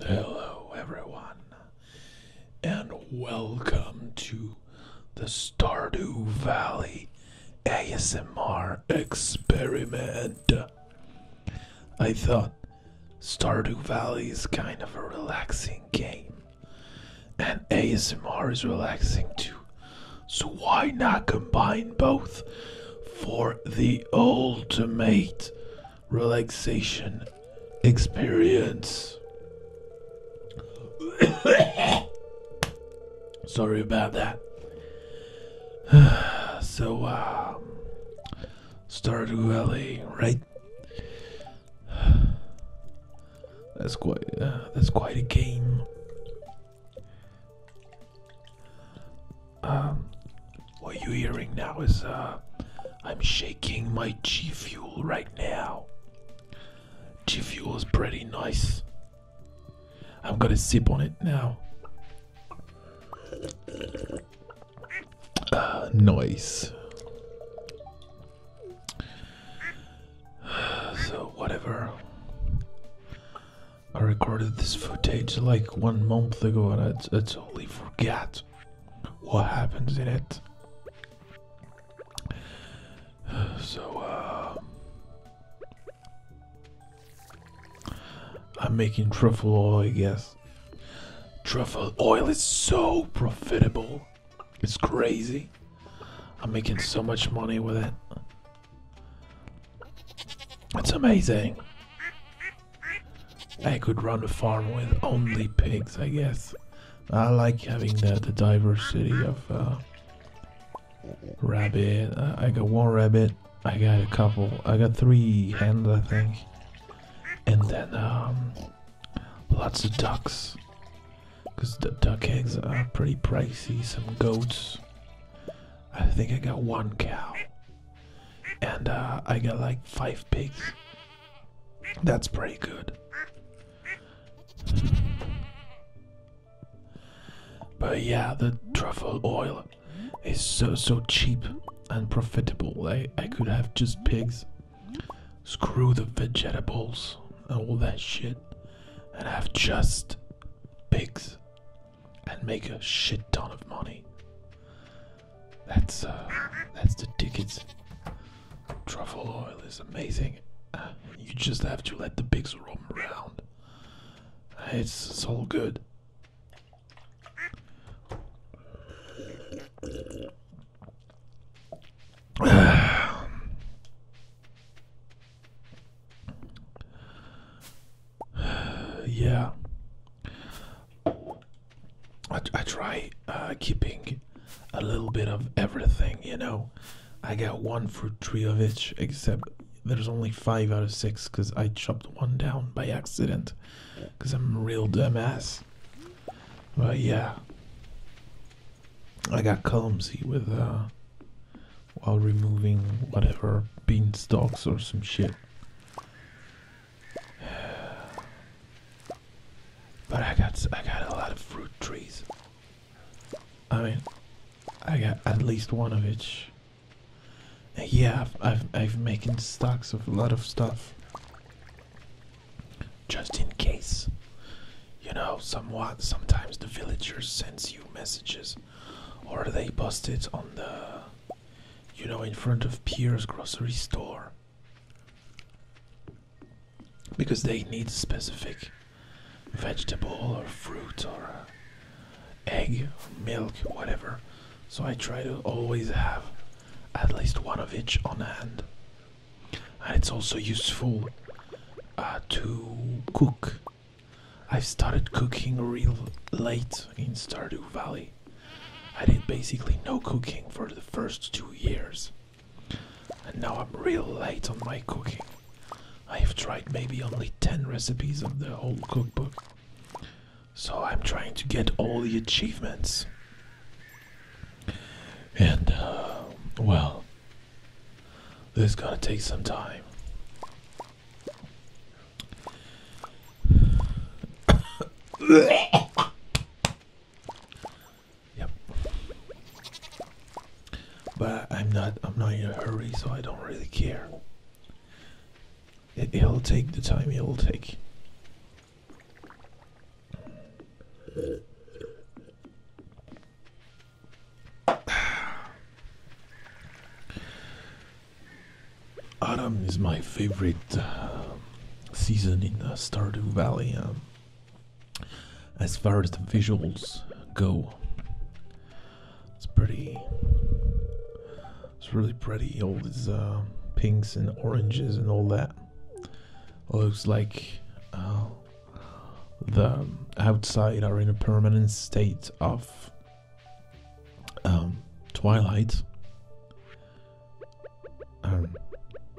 Hello, everyone, and welcome to the Stardew Valley ASMR experiment. I thought Stardew Valley is kind of a relaxing game, and ASMR is relaxing too, so why not combine both for the ultimate relaxation experience. Sorry about that. so, uh, um, Stardew Valley, right? That's quite uh, that's quite a game. Um, what you're hearing now is uh, I'm shaking my G Fuel right now. G Fuel is pretty nice. I'm gonna zip on it now. Uh, noise. So, whatever. I recorded this footage like one month ago and I totally forgot what happens in it. So, uh, I'm making truffle oil, I guess. Truffle oil is so profitable. It's crazy. I'm making so much money with it. It's amazing. I could run a farm with only pigs, I guess. I like having the, the diversity of uh, rabbit. Uh, I got one rabbit. I got a couple. I got three hens, I think. And then um, lots of ducks. Because the duck eggs are pretty pricey. Some goats. I think I got one cow and uh, I got like five pigs. That's pretty good. But yeah, the truffle oil is so so cheap and profitable. I, I could have just pigs. Screw the vegetables and all that shit. And have just pigs. And make a shit ton of money. That's uh, that's the tickets. Truffle oil is amazing. you just have to let the pigs roam around. it's, it's all good. yeah, I, I try uh, keeping a little bit of everything, you know. I got one fruit tree of each, except there's only five out of six because I chopped one down by accident because I'm a real dumbass. But yeah, I got clumsy with uh, while removing whatever bean stalks or some shit. But I got I got a lot of fruit trees. I mean, I got at least one of each. yeah, I've I've, making stocks of a lot of stuff. Just in case, you know, somewhat sometimes the villagers sends you messages, or they post it on the you know, in front of Piers' grocery store because they need specific vegetable or fruit or uh, egg or milk, whatever. So I try to always have at least one of each on hand. And it's also useful uh, to cook. I've started cooking real late in Stardew Valley. I did basically no cooking for the first two years. And now I'm real late on my cooking. I have tried maybe only 10 recipes of the whole cookbook. So I'm trying to get all the achievements. And, uh, well, this is gonna take some time yep. But I'm not I'm not in a hurry so I don't really care. It, it'll take the time it'll take. Autumn is my favorite uh, season in the Stardew Valley. Um, as far as the visuals go, it's pretty. It's really pretty. All these um, pinks and oranges and all that looks like uh, the outside are in a permanent state of um, twilight,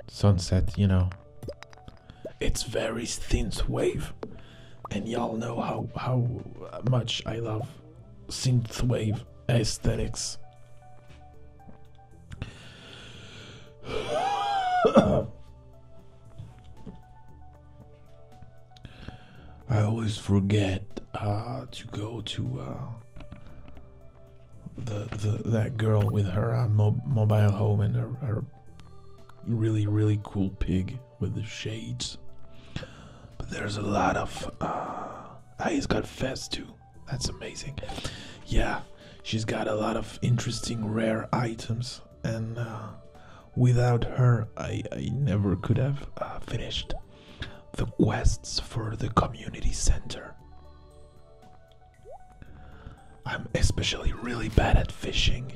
sunset, you know. It's very synthwave, and y'all know how how much I love synthwave aesthetics. I always forget uh, to go to uh, the, the that girl with her uh, mobile home and her, really really cool pig with the shades. But there's a lot of uh, ah, he's got fez too. That's amazing. Yeah, she's got a lot of interesting rare items, and uh, without her, I I never could have uh, finished the quests for the community center. I'm especially really bad at fishing,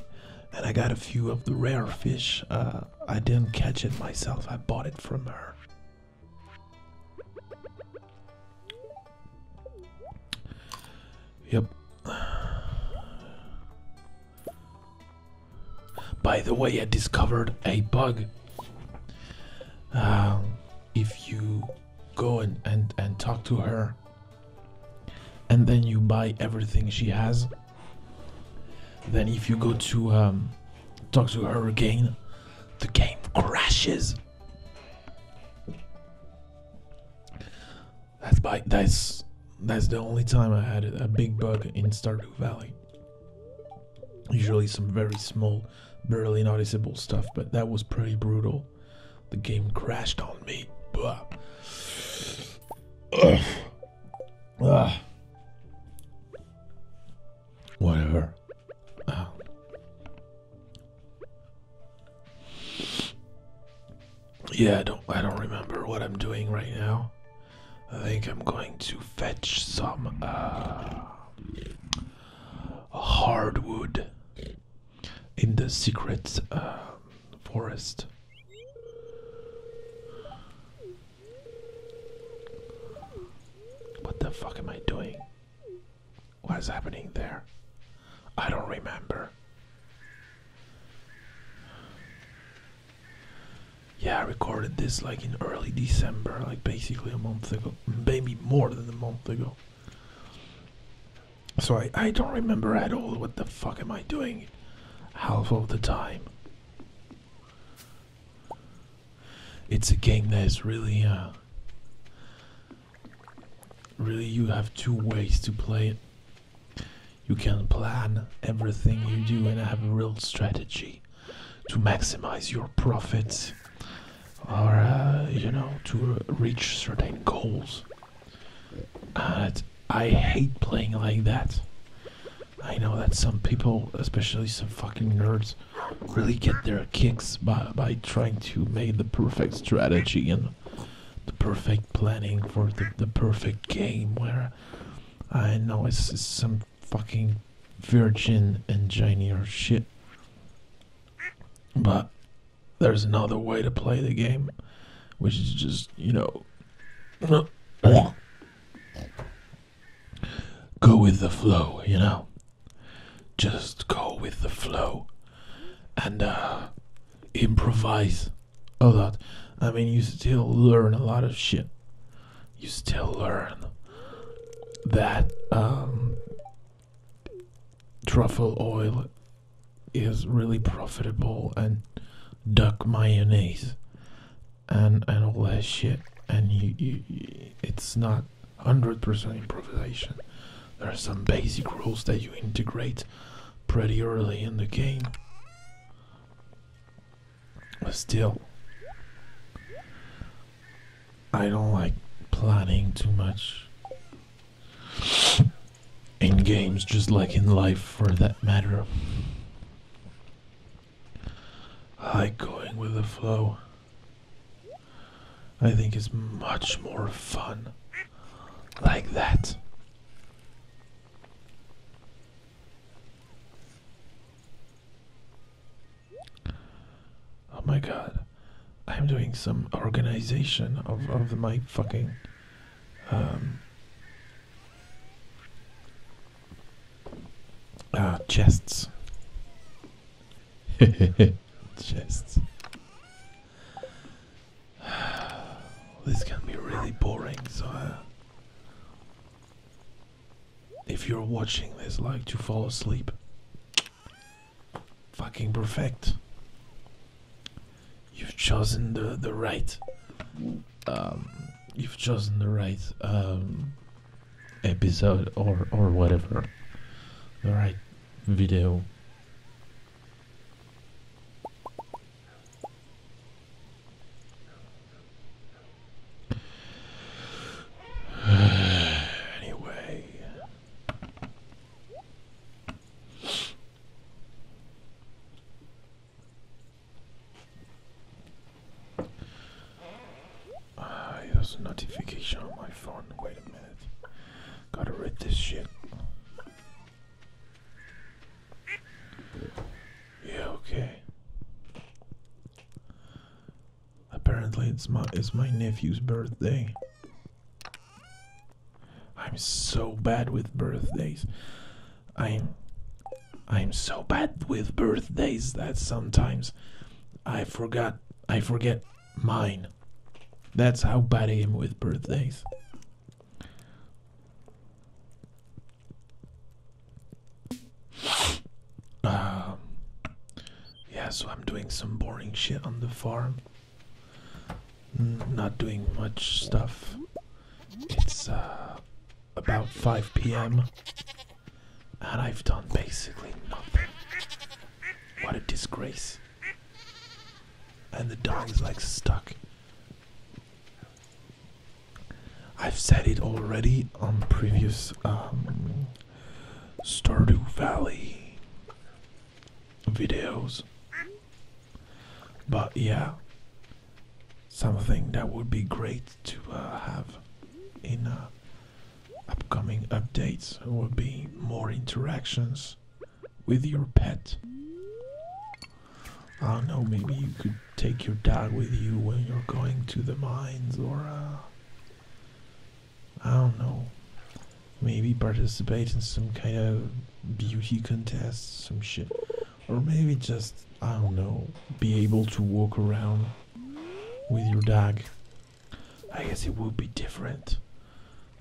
and I got a few of the rare fish. Uh, I didn't catch it myself, I bought it from her. Yep. By the way, I discovered a bug um, if you go and, and, and talk to her, and then you buy everything she has, then if you go to um, talk to her again, the game crashes. That's by that's that's the only time I had a big bug in Stardew Valley. Usually some very small, barely noticeable stuff, but that was pretty brutal. The game crashed on me. Ugh. Whatever. Um. Yeah, I don't I don't remember what I'm doing right now. I think I'm going to fetch some uh, hardwood in the secret uh, forest. What the fuck am I doing? What is happening there? I don't remember yeah, I recorded this like in early December, like basically a month ago, maybe more than a month ago. So I, I don't remember at all what the fuck am I doing half of the time. It's a game that is really, uh, really you have two ways to play it. You can plan everything you do and have a real strategy to maximize your profits or uh, you know to reach certain goals i hate playing like that i know that some people especially some fucking nerds really get their kicks by, by trying to make the perfect strategy and the perfect planning for the, the perfect game where i know it's some fucking virgin engineer shit. But there's another way to play the game, which is just, you know, go with the flow, you know? Just go with the flow and uh, improvise a lot. I mean, you still learn a lot of shit you still learn that um, truffle oil is really profitable and duck mayonnaise and and all that shit and you it's not 100% improvisation there are some basic rules that you integrate pretty early in the game but still, I don't like planning too much in games, just like in life for that matter. I like going with the flow. I think is much more fun like that. Oh my god. I'm doing some organization of, of my fucking um, uh, chests. chests. This can be really boring, so uh, if you're watching this like to fall asleep, fucking perfect. You've chosen the the right. Um, you've chosen the right um, episode or or whatever, the right video. anyway. Ah, there's a notification on my phone. Wait a minute. Gotta read this shit. Yeah, okay. Apparently it's my it's my nephew's birthday. I'm so bad with birthdays. I'm I'm so bad with birthdays that sometimes I forgot I forget mine. That's how bad I am with birthdays. Um, yeah, so I'm doing some boring shit on the farm. Not doing much stuff. It's uh, about 5 p.m. and I've done basically nothing. What a disgrace. And the dog is like stuck. I've said it already on previous um, Stardew Valley videos, but yeah, something that would be great to uh, have in uh, upcoming updates would be more interactions with your pet. I don't know, maybe you could take your dog with you when you're going to the mines or I don't know maybe participate in some kind of beauty contest some shit or maybe just I don't know be able to walk around with your dog I guess it would be different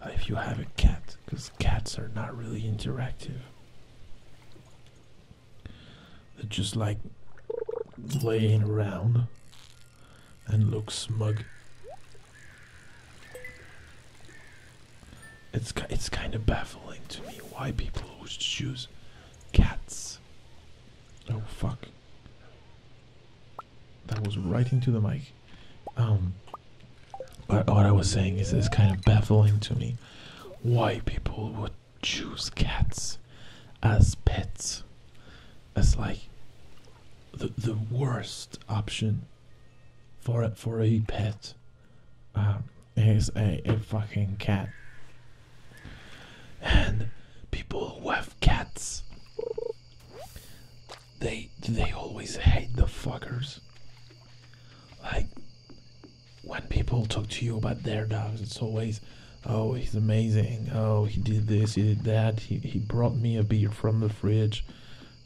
if you have a cat because cats are not really interactive that just like laying around and look smug. It's it's kind of baffling to me why people would choose cats. Oh fuck. That was right into the mic. Um but what I was saying is it's kind of baffling to me why people would choose cats as pets as like the the worst option for a, for a pet um, is a, a fucking cat and people who have cats they they always hate the fuckers like when people talk to you about their dogs it's always Oh, he's amazing. Oh, he did this, he did that. He, he brought me a beer from the fridge.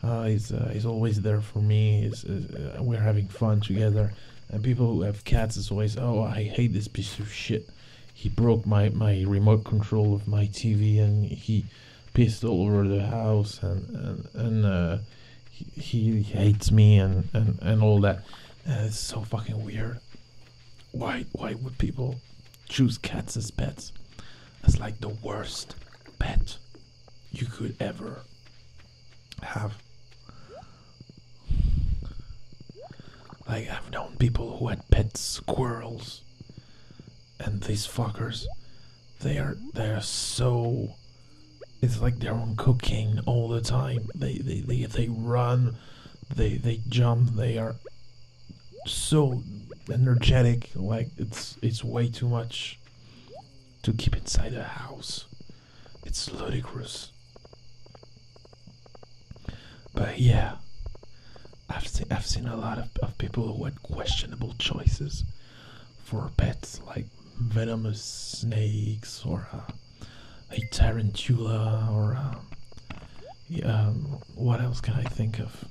Uh, he's, uh, he's always there for me. He's, uh, uh we're having fun together. And people who have cats is always, oh, I hate this piece of shit. He broke my, my remote control of my TV and he pissed all over the house and, and, and uh, he, he hates me and, and, and all that. it's so fucking weird. Why why would people choose cats as pets? That's like the worst pet you could ever have. Like I've known people who had pet squirrels and these fuckers they are they're so it's like they're on cocaine all the time. They they they, they run they they jump. They are so energetic. Like it's it's way too much to keep inside a house. It's ludicrous. But yeah, I've seen I've seen a lot of, of people who had questionable choices for pets like venomous snakes or. Uh, a tarantula or uh, um, what else can I think of?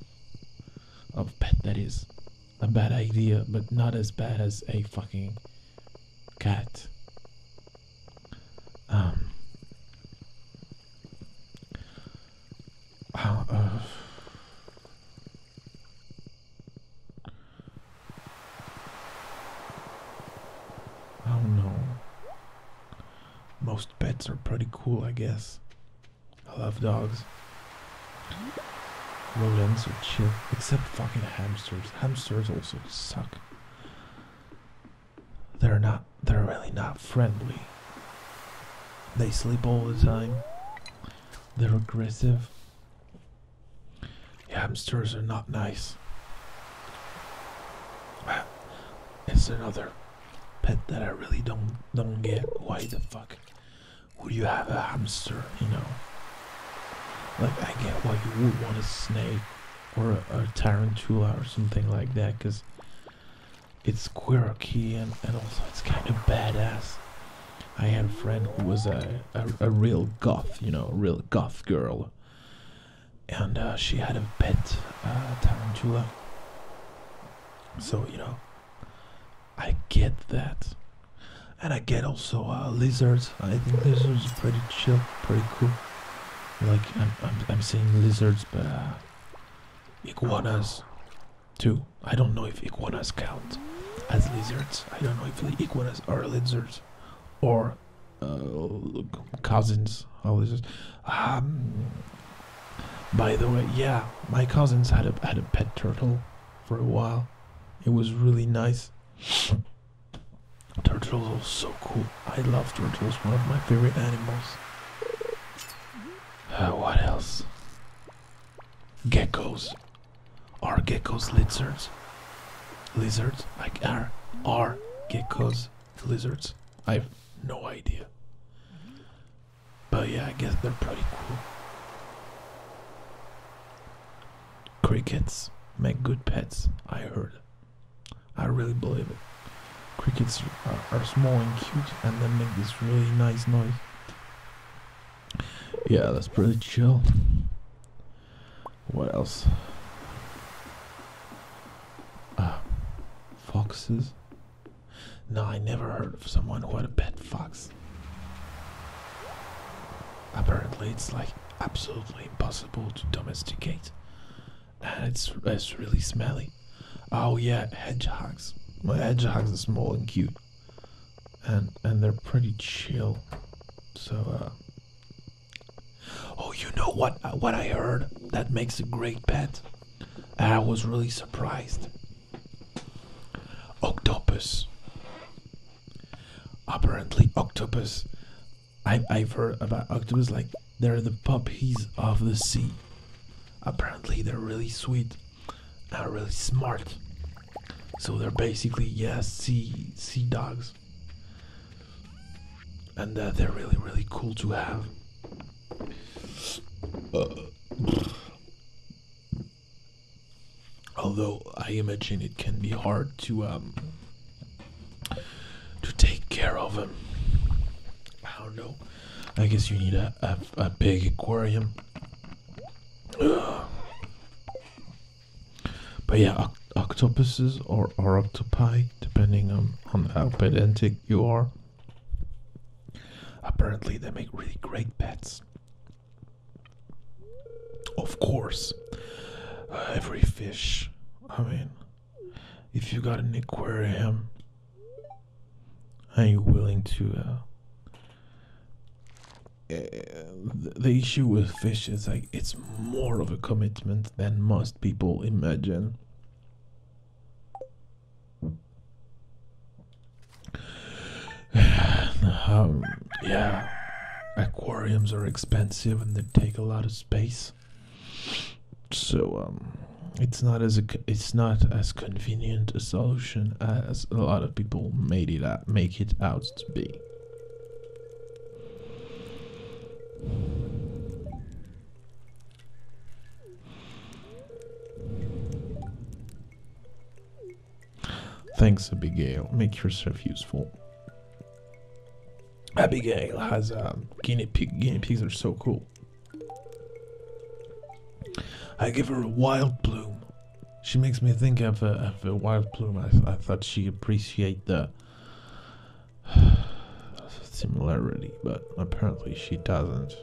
Of pet that is a bad idea, but not as bad as a fucking cat. Um. How, uh, I don't know. Most pets are pretty cool, I guess. I love dogs. Rodents are chill, except fucking hamsters. Hamsters also suck. They're not, they're really not friendly. They sleep all the time. They're aggressive. Hamsters are not nice. It's another pet that I really don't don't get. Why the fuck would you have a hamster? You know, like I get why you would want a snake or a, tarantula or something like that, because it's quirky and, also it's kind of badass. I had a friend who was a, a real goth, you know, a real goth girl and uh, she had a pet uh, tarantula. So you know, I get that, and I get also uh, lizards. I think lizards are pretty chill, pretty cool. Like I'm, I'm, I'm seeing lizards, but iguanas too. I don't know if iguanas count as lizards. I don't know if iguanas are lizards or uh, cousins. All this. Um, by the way, yeah, my cousins had a had a pet turtle for a while. It was really nice. Turtles are so cool. I love turtles. One of my favorite animals. Uh, what else? Geckos. Are geckos lizards? Lizards? Like are are geckos the lizards? I have no idea. But yeah, I guess they're pretty cool. Crickets make good pets, I heard. I really believe it. Crickets are, are small and cute and they make this really nice noise. Yeah, that's pretty chill. What else? Uh, foxes? No, I never heard of someone who had a pet fox. Apparently, it's like absolutely impossible to domesticate, and it's it's really smelly. Oh yeah, hedgehogs. My hedgehogs are small and cute, and and they're pretty chill. So uh, Oh, you know what? Uh, what I heard that makes a great pet. I was really surprised. Octopus. Apparently, octopus. I, I've heard about octopus like they're the puppies of the sea. Apparently, they're really sweet and really smart. So they're basically yes, sea sea dogs. And uh, they're really, really cool to have. Uh, although I imagine it can be hard to um, to take care of them. I don't know. I guess you need a, a big aquarium. But yeah, octopuses or, or octopi, depending on, on how pedantic you are. Apparently, they make really great pets. Of course, uh, every fish. I mean, if you got an aquarium and you're willing to. Uh, eh, the issue with fish is like it's more of a commitment than most people imagine? Um, yeah, aquariums are expensive and they take a lot of space. So um, it's not as it's not as convenient a solution as a lot of people made it make it out to be. Thanks, Abigail. Make yourself useful. Abigail has um, guinea pig. Guinea pigs are so cool. I give her a wild bloom. She makes me think of a, wild bloom. I, thought she appreciate that similarity, but apparently she doesn't.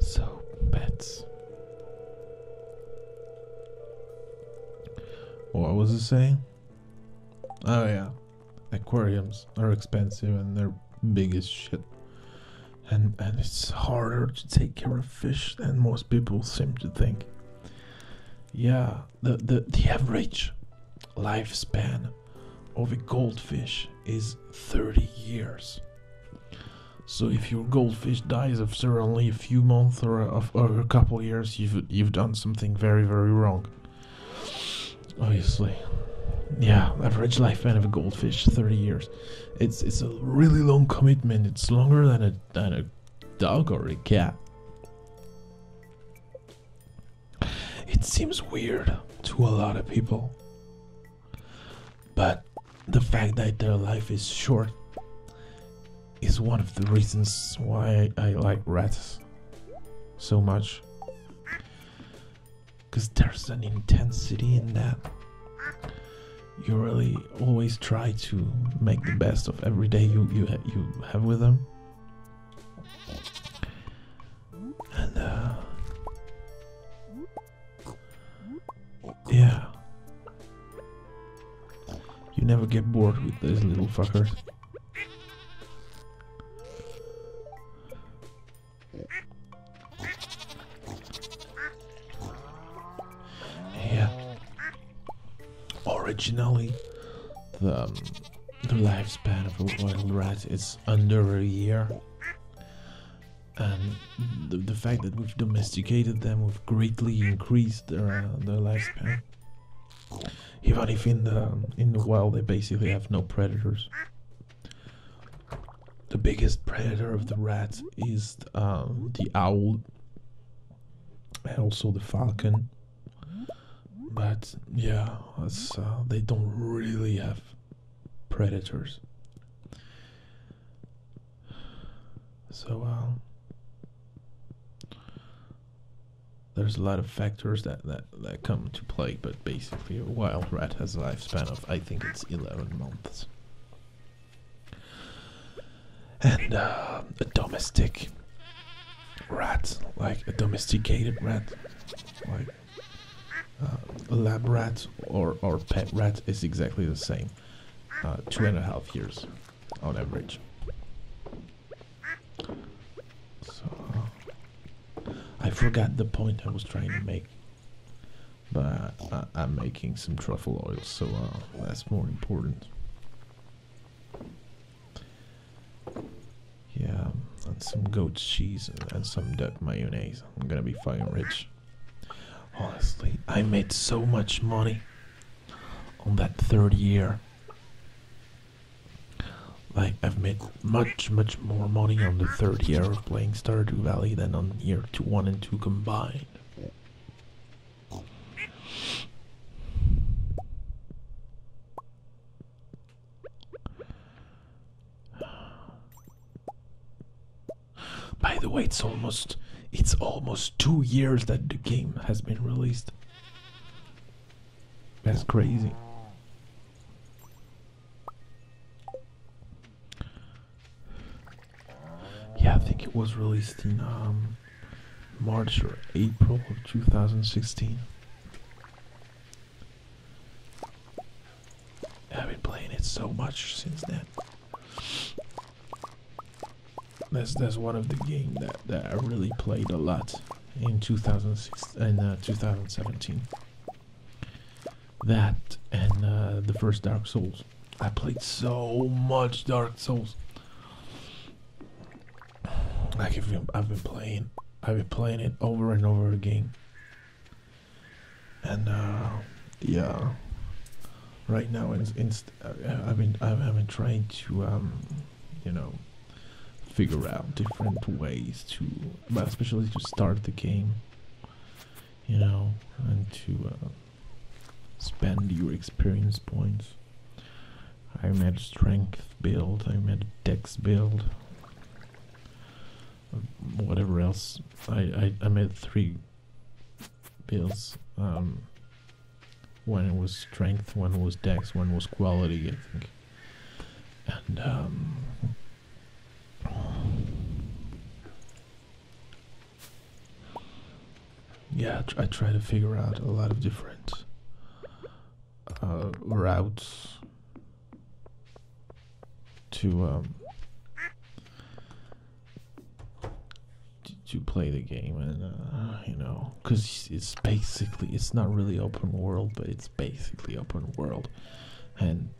So, pets. What was it saying? Oh yeah, aquariums are expensive and they're big as shit. And, and it's harder to take care of fish than most people seem to think. Yeah, the, the, the average lifespan of a goldfish is 30 years. So if your goldfish dies after only a few months or a, or a couple years, you've you've done something very very wrong. Obviously, yeah, average lifespan of a goldfish 30 years. It's it's a really long commitment. It's longer than a than a dog or a cat. It seems weird to a lot of people. But the fact that their life is short is one of the reasons why I like rats so much because there's an intensity in that. You really always try to make the best of every day you you you have with them, and uh, yeah, you never get bored with these little fuckers. Yeah. Originally, the, um, the lifespan of a wild rat is under a year. And the, the fact that we've domesticated them, we've greatly increased their, uh, their lifespan. Even if in the, um, in the wild they basically have no predators. The biggest predator of the rats is um, the owl and also the falcon. But yeah, uh, they don't really have predators. So um, there's a lot of factors that, that, that come to play, but basically a wild rat has a lifespan of I think it's 11 months. And uh, a domestic rat, like a domesticated rat, like uh, a lab rat or, or pet rat is exactly the same. Uh, two and a half years on average. So, I forgot the point I was trying to make. But I, am making some truffle oil, so uh, that's more important. Yeah, and some goat cheese and some duck mayonnaise. I'm gonna be fucking rich. Honestly, I made so much money on that third year. Like, I've made much, much more money on the third year of playing Stardew Valley than on year to one and two combined. By the way, it's almost it's almost two years that the game has been released. That's crazy. Yeah, I think it was released in um, March or April of 2016. I've been playing it so much since then. That's that's one of the game that that I really played a lot in 2016 and uh, 2017. That and uh, the first Dark Souls. I played so much Dark Souls. Like I've been, playing, I've been playing it over and over again. And uh, yeah, right now uh, I've been trying to um, you know figure out different ways to, but especially to start the game you know, and to uh, spend your experience points. I made a strength build, I made a dex build, uh, whatever else. I, I, made three builds. Um, one was strength, one was dex, one was quality, I think. And um, yeah, I try to figure out a lot of different uh, routes um, to to play the game, and uh, you know, because it's basically it's not really open world, but it's basically open world, and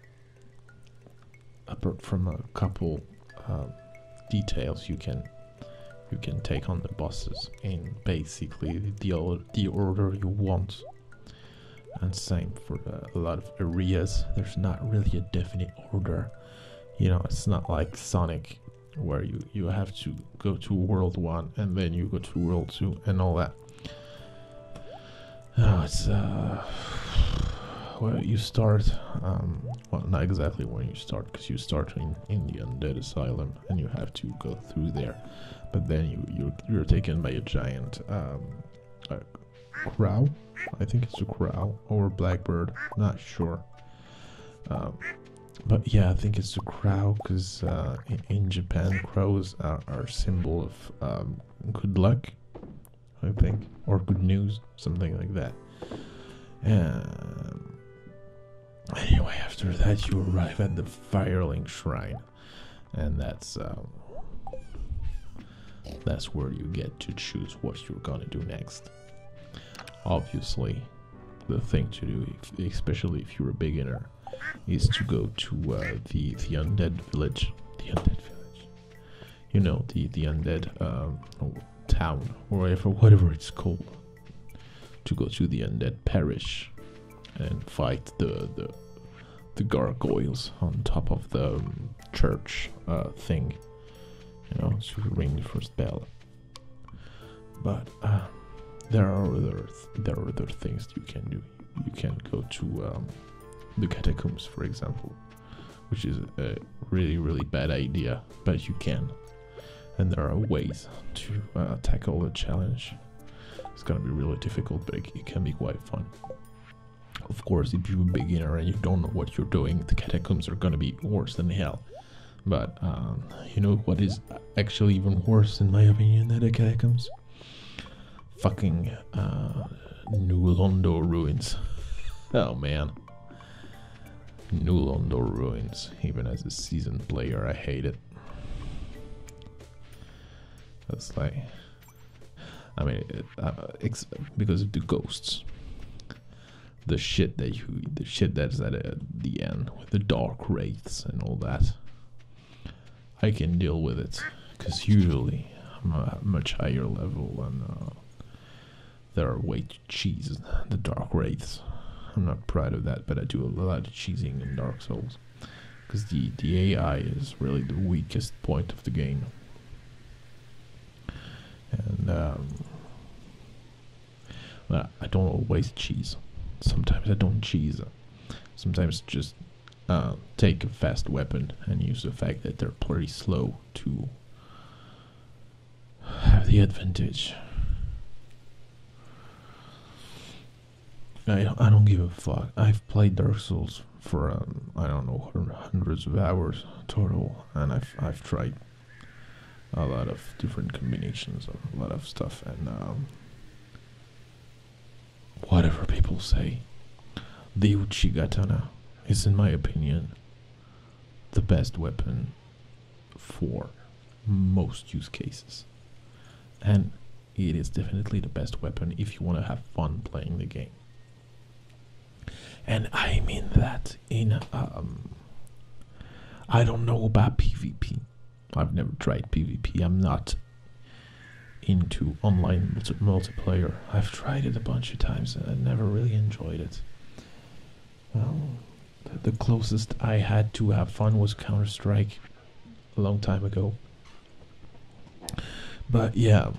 apart from a couple uh, details you can you can take on the bosses in basically the order, you want and same for uh, a lot of areas there's not really a definite order you know it's not like sonic where you you have to go to world one and then you go to world two and all that it's uh, where you start, um, well, not exactly where you start, because you start in, the undead asylum, and you have to go through there, but then you you're, taken by a giant um, crow, I think it's a crow or blackbird, not sure. Um, but yeah, I think it's a crow because uh, in, Japan, crows are, a symbol of good luck I think, or good news, something like that. Um, anyway, after that, you arrive at the Firelink Shrine, and that's um, that's where you get to choose what you're gonna do next. Obviously, the thing to do, especially if you're a beginner, is to go to uh, the the undead village. The undead village you know, the the undead um, town or whatever, it's called, to go to the undead parish and fight the the the gargoyles on top of the um, church uh, thing. You know, to ring the first bell. But uh, there are other there are other things you can do. You can go to um, the catacombs, for example which is a really, really bad idea, but you can. And there are ways to uh, tackle the challenge. It's gonna be really difficult, but it, can be quite fun. Of course, if you're a beginner and you don't know what you're doing, the catacombs are gonna be worse than hell. But um, you know what is actually even worse, in my opinion, than the catacombs? fucking uh, New ruins. oh man. Nulondo ruins. Even as a seasoned player, I hate it. It's like. I mean, uh, because of the ghosts, the shit that you, the shit that's at uh, the end with the dark wraiths and all that, I can deal with it because usually I'm at a much higher level and uh, there are way to cheese the dark wraiths. I'm not proud of that, but I do a lot of cheesing in Dark Souls because the the AI is really the weakest point of the game. And um, I don't always cheese. Sometimes I don't cheese. Sometimes just uh, take a fast weapon and use the fact that they're pretty slow to have the advantage. I, I don't give a fuck. I've played Dark Souls for, um, I don't know, hundreds of hours total, and I've, I've tried a lot of different combinations a lot of stuff, and um, whatever people say, the Uchigatana is, in my opinion, the best weapon for most use cases. And it is definitely the best weapon if you want to have fun playing the game. And I mean that in. Um, I don't know about PvP. I've never tried PvP. I'm not into online multiplayer. I've tried it a bunch of times and I never really enjoyed it. Well, the closest I had to have fun was Counter Strike a long time ago. But yeah.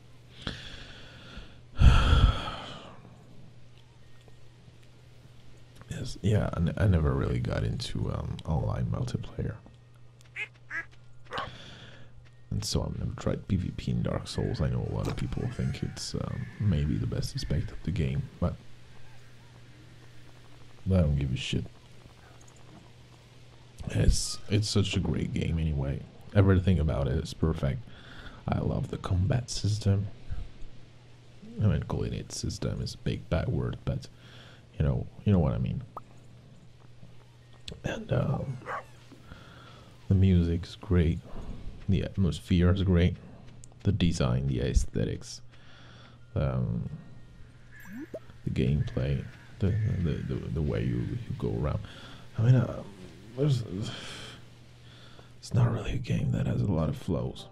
yes, yeah, I, never really got into um, online multiplayer. And so I've never tried PvP in Dark Souls. I know a lot of people think it's um, maybe the best aspect of the game, but I don't give a shit. It's it's such a great game anyway. Everything about it is perfect. I love the combat system. I mean, calling it system is a big bad word, but you know, you know what I mean. And um, the music's great, the atmosphere is great, the design, the aesthetics, um, the gameplay, the the, the, way you, you go around. I mean, uh, there's it's not really a game that has a lot of flows.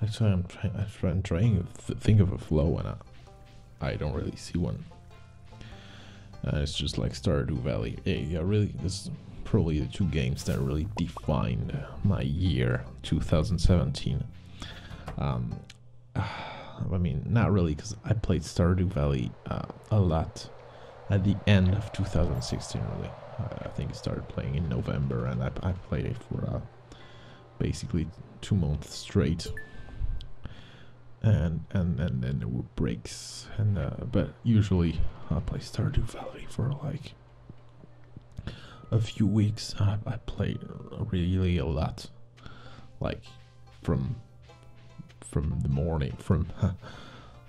That's why I'm trying. to think of a flow, and I, I don't really see one. Uh, it's just like Stardew Valley. Yeah, really. It's probably the two games that really defined my year, 2017. Um, I mean, not really, because I played Stardew Valley uh, a lot at the end of 2016. Really, I, think I started playing in November, and I, played it for. Uh, basically two months straight and and and then there were breaks and uh, but usually I play Stardew Valley for like a few weeks I, I play really a lot like from from the morning from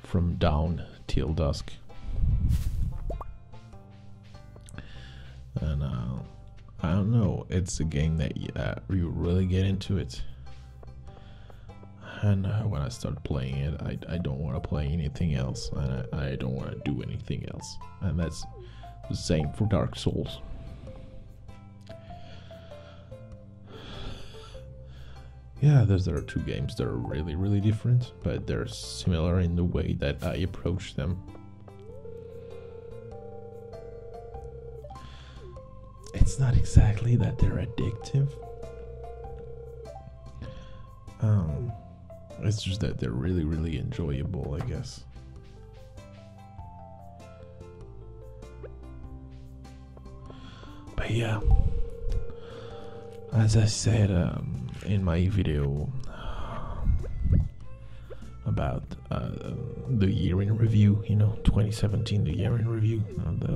from down till dusk and uh, I don't know. It's a game that you really get into it. And uh, when I start playing it, I, don't want to play anything else, and I don't want to do anything else. And that's the same for Dark Souls. Yeah, those are two games that are really, really different, but they're similar in the way that I approach them. It's not exactly that they're addictive. Um, it's just that they're really, really enjoyable, I guess. But yeah, as I said um, in my video, about uh, the year in review, you know, 2017, the year in review. Uh, the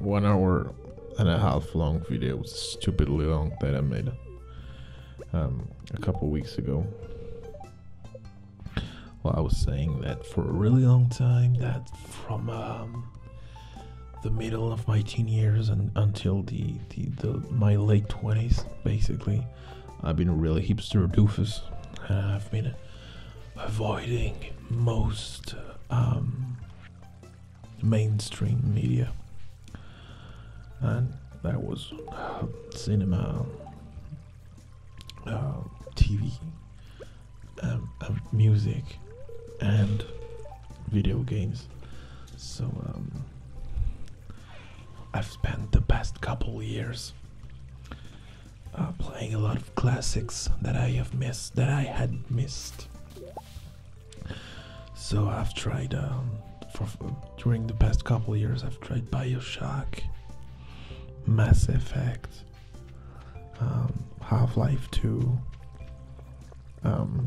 one hour and a half long video stupidly long that I made um, a couple weeks ago. Well, I was saying that for a really long time, that from um, the middle of my teen years and until the my late 20s, basically, I've been a real hipster doofus. I've been avoiding most um, mainstream media. And that was um, cinema, uh, TV, um, uh, music, and video games. So, I've spent the past couple years uh, playing a lot of classics that I have missed, that I had missed. So I've tried um, during the past couple years. I've tried Bioshock, Mass Effect, um, Half Life Two. Um,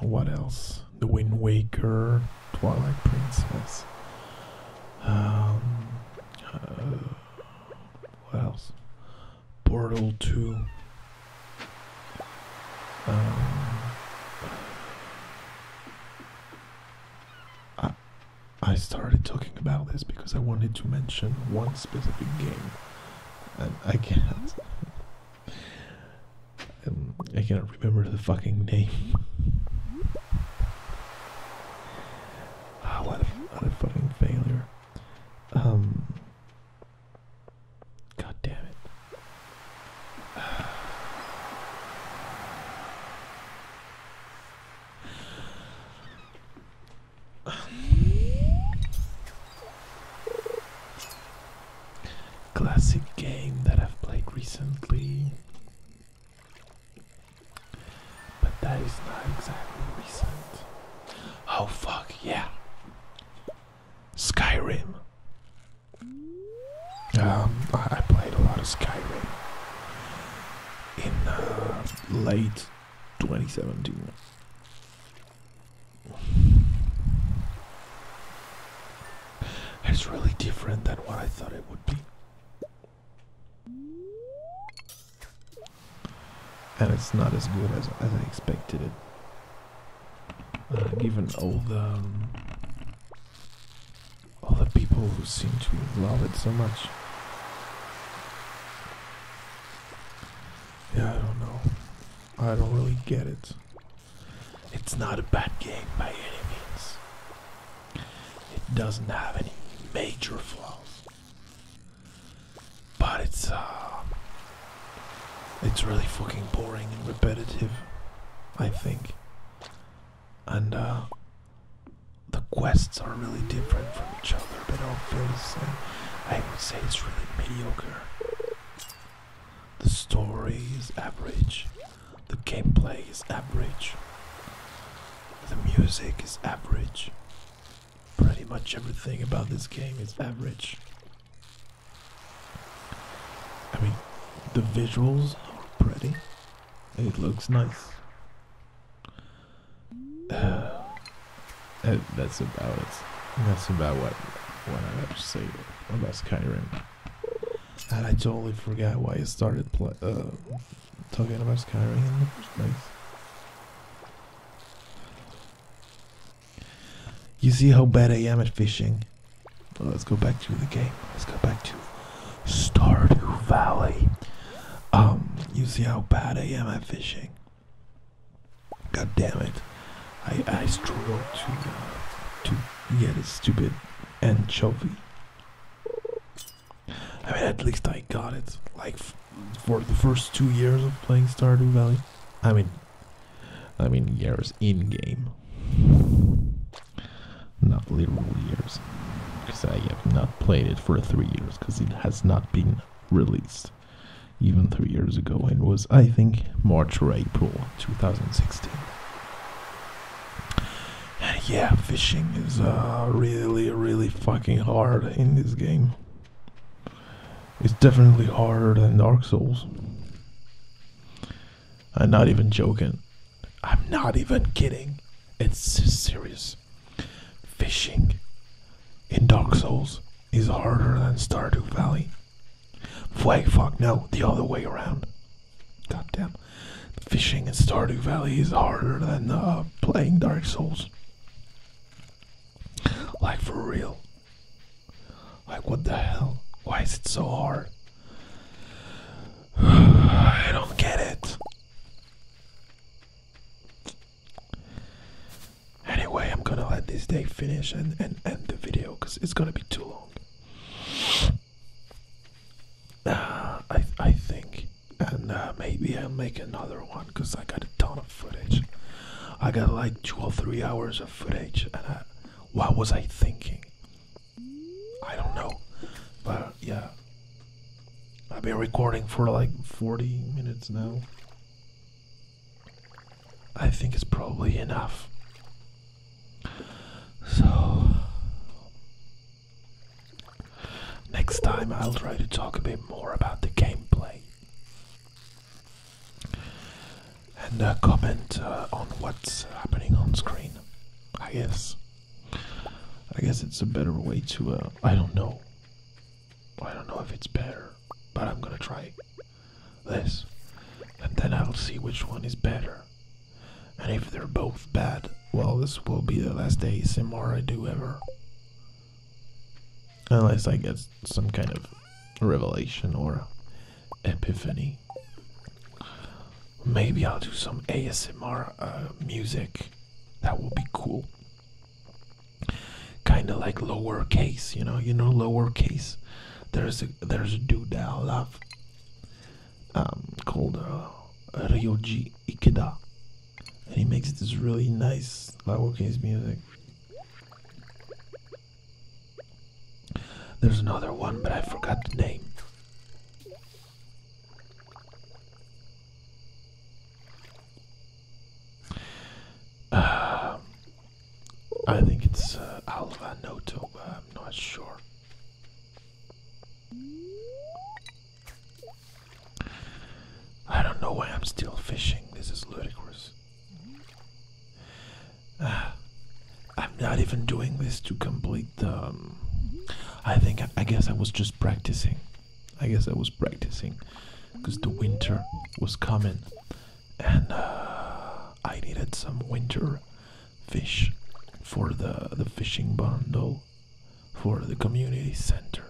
what else? The Wind Waker, Twilight Princess. Um, uh, what else? Portal 2. Um, I started talking about this because I wanted to mention one specific game, and I can't. Um, I cannot remember the fucking name. Ah, what a, fucking failure. Um, God damn it. Classic game that I've played recently but that is not exactly recent. Oh fuck, yeah. Skyrim. Um, I played a lot of Skyrim in uh, late 2017. It's really different than what I thought it would be and it's not as good as, I expected it. Uh, given all the um, all the people who seem to love it so much. Yeah, I don't know. I don't really get it. It's not a bad game by any means. It doesn't have any major flaws. But it's uh it's really fucking boring and repetitive, I think. And uh the quests are really different from each other, but all feel the I would say it's really mediocre. The story is average. The gameplay is average. The music is average. Pretty much everything about this game is average. I mean, the visuals are pretty. It looks nice. that's about it. That's about what I have to say about Skyrim. And I totally forgot why I started uh, talking about Skyrim in the first place. You see how bad I am at fishing. let's go back to the game. Let's go back to Stardew Valley. Um, you see how bad I am at fishing. God damn it. I, I struggle to, uh, to get a stupid anchovy. I mean, at least I got it. Like for the first two years of playing Stardew Valley. I mean, I mean years in game, not literal years. Because I have not played it for three years because it has not been released, even three years ago. It was I think March or April 2016 yeah, fishing is uh, really, really fucking hard in this game. It's definitely harder than Dark Souls. I'm not even joking. I'm not even kidding. It's serious. Fishing in Dark Souls is harder than Stardew Valley. Wait, fuck, no, the other way around. God damn! Fishing in Stardew Valley is harder than uh, playing Dark Souls. Like, for real. Like, what the hell? Why is it so hard? I don't get it. Anyway, I'm gonna let this day finish and, and end the video because it's gonna be too long. Uh, I I think, and uh, maybe I'll make another one because I got a ton of footage. I got like two or three hours of footage, and what was I thinking? I don't know, but yeah, I've been recording for like 40 minutes now. I think it's probably enough. So, next time I'll try to talk a bit more about the gameplay and uh, comment uh, on what's happening on screen. I guess. I guess it's a better way to. Uh, I don't know. I don't know if it's better, but I'm gonna try this, and then I'll see which one is better. And if they're both bad, well, this will be the last ASMR I do ever. Unless I get some kind of revelation or epiphany. Maybe I'll do some ASMR uh, music. That will be cool. Kind of like lowercase, you know, you know lowercase. There's a there's a dude that I love. Um, called uh, Ikeda, and he makes this really nice Lago case music. There's another one, but I forgot the name. Uh, I think it's uh, Noto, I'm not sure. I don't know why I'm still fishing. This is ludicrous. Ah, I'm not even doing this to complete the. Um, I think I guess I was just practicing. I guess I was practicing because the winter was coming, and uh, I needed some winter fish for the, the fishing bundle for the community center.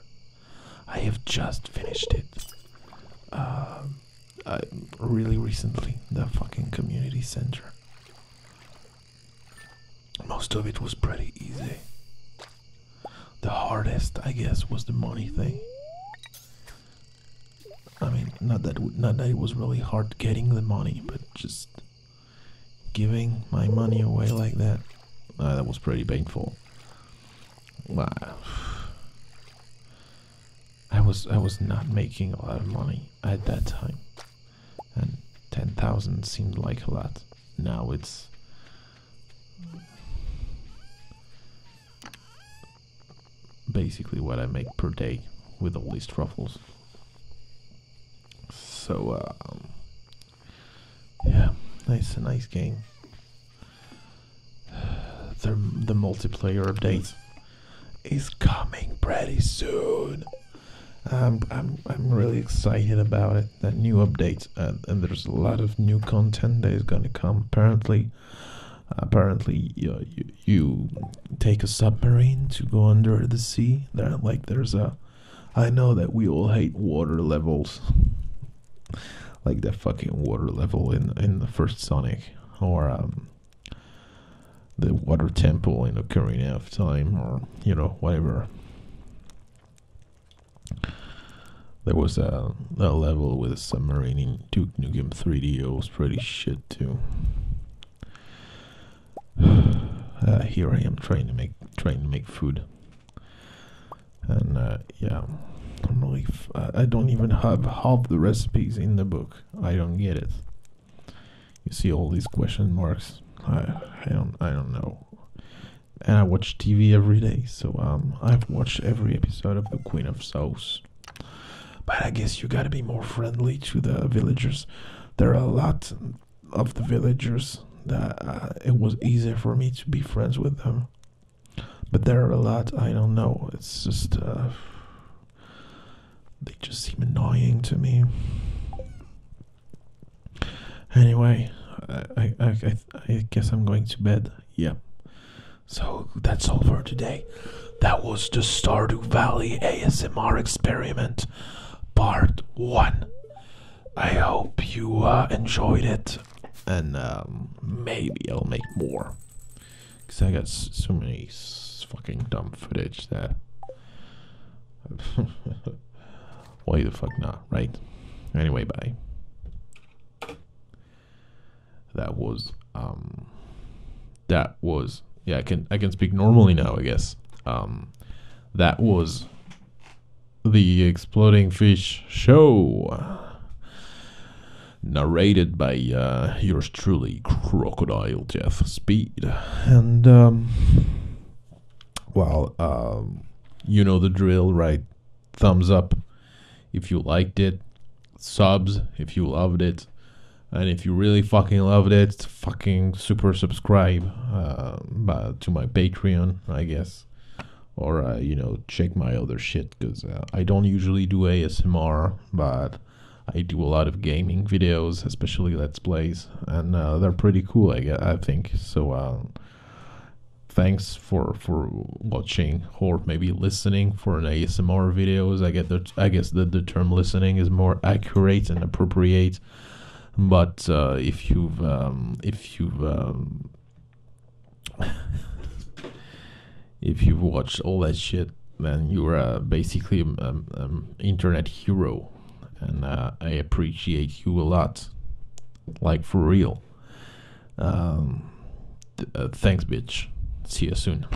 I have just finished it. Uh, really recently, the fucking community center. Most of it was pretty easy. The hardest, I guess, was the money thing. I mean, not that not that it was really hard getting the money, but just giving my money away like that. that was pretty painful. Wow. I was I was not making a lot of money at that time, and ten thousand seemed like a lot. Now it's basically what I make per day with all these truffles. So, um, yeah, nice, a nice game. The, the multiplayer update is coming pretty soon. Um, I'm, I'm really excited about it. That new update, uh, and there's a lot of new content that is gonna come. Apparently, apparently, uh, you, you take a submarine to go under the sea. There, like, there's a. I know that we all hate water levels, like that fucking water level in in the first Sonic, or um, the water temple in Ocarina half Time, or you know whatever. There was a, a level with a submarine in Duke Nukem 3D. It was pretty shit too. Uh, here I am trying to make trying to make food, and uh, yeah, I'm really f I don't even have half the recipes in the book. I don't get it. You see all these question marks. I don't I don't know. And I watch TV every day, so um, I've watched every episode of The Queen of Souls. But I guess you gotta be more friendly to the villagers there are a lot of the villagers that uh, it was easy for me to be friends with them. But there are a lot I don't know. It's just uh, they just seem annoying to me. Anyway, I I I, I guess I'm going to bed. Yeah. So that's all for today. That was the Stardew Valley ASMR experiment, part one. I hope you uh, enjoyed it, and um, maybe I'll make more. Cause I got so many fucking dumb footage there. Why the fuck not, right? Anyway, bye. That was um that was yeah. I can I can speak normally now. I guess um, that was the exploding fish show narrated by uh, yours truly, Crocodile Jeff Speed. And, um, well, um, you know the drill, right? Thumbs up if you liked it, subs if you loved it, and if you really fucking loved it, fucking super subscribe uh, uh to my Patreon, I guess. Or, uh, you know, check my other shit, because uh, I don't usually do ASMR, but I do a lot of gaming videos, especially Let's Plays, and they're pretty cool, I, guess, I think. So, um, thanks for for watching or maybe listening for an ASMR videos. I get the I guess that the term listening is more accurate and appropriate. But uh, if you've um, if you've um, if you've watched all that shit, then you're uh, basically an um, internet hero, and uh, I appreciate you a lot, like for real. Uh, thanks, bitch. See you soon.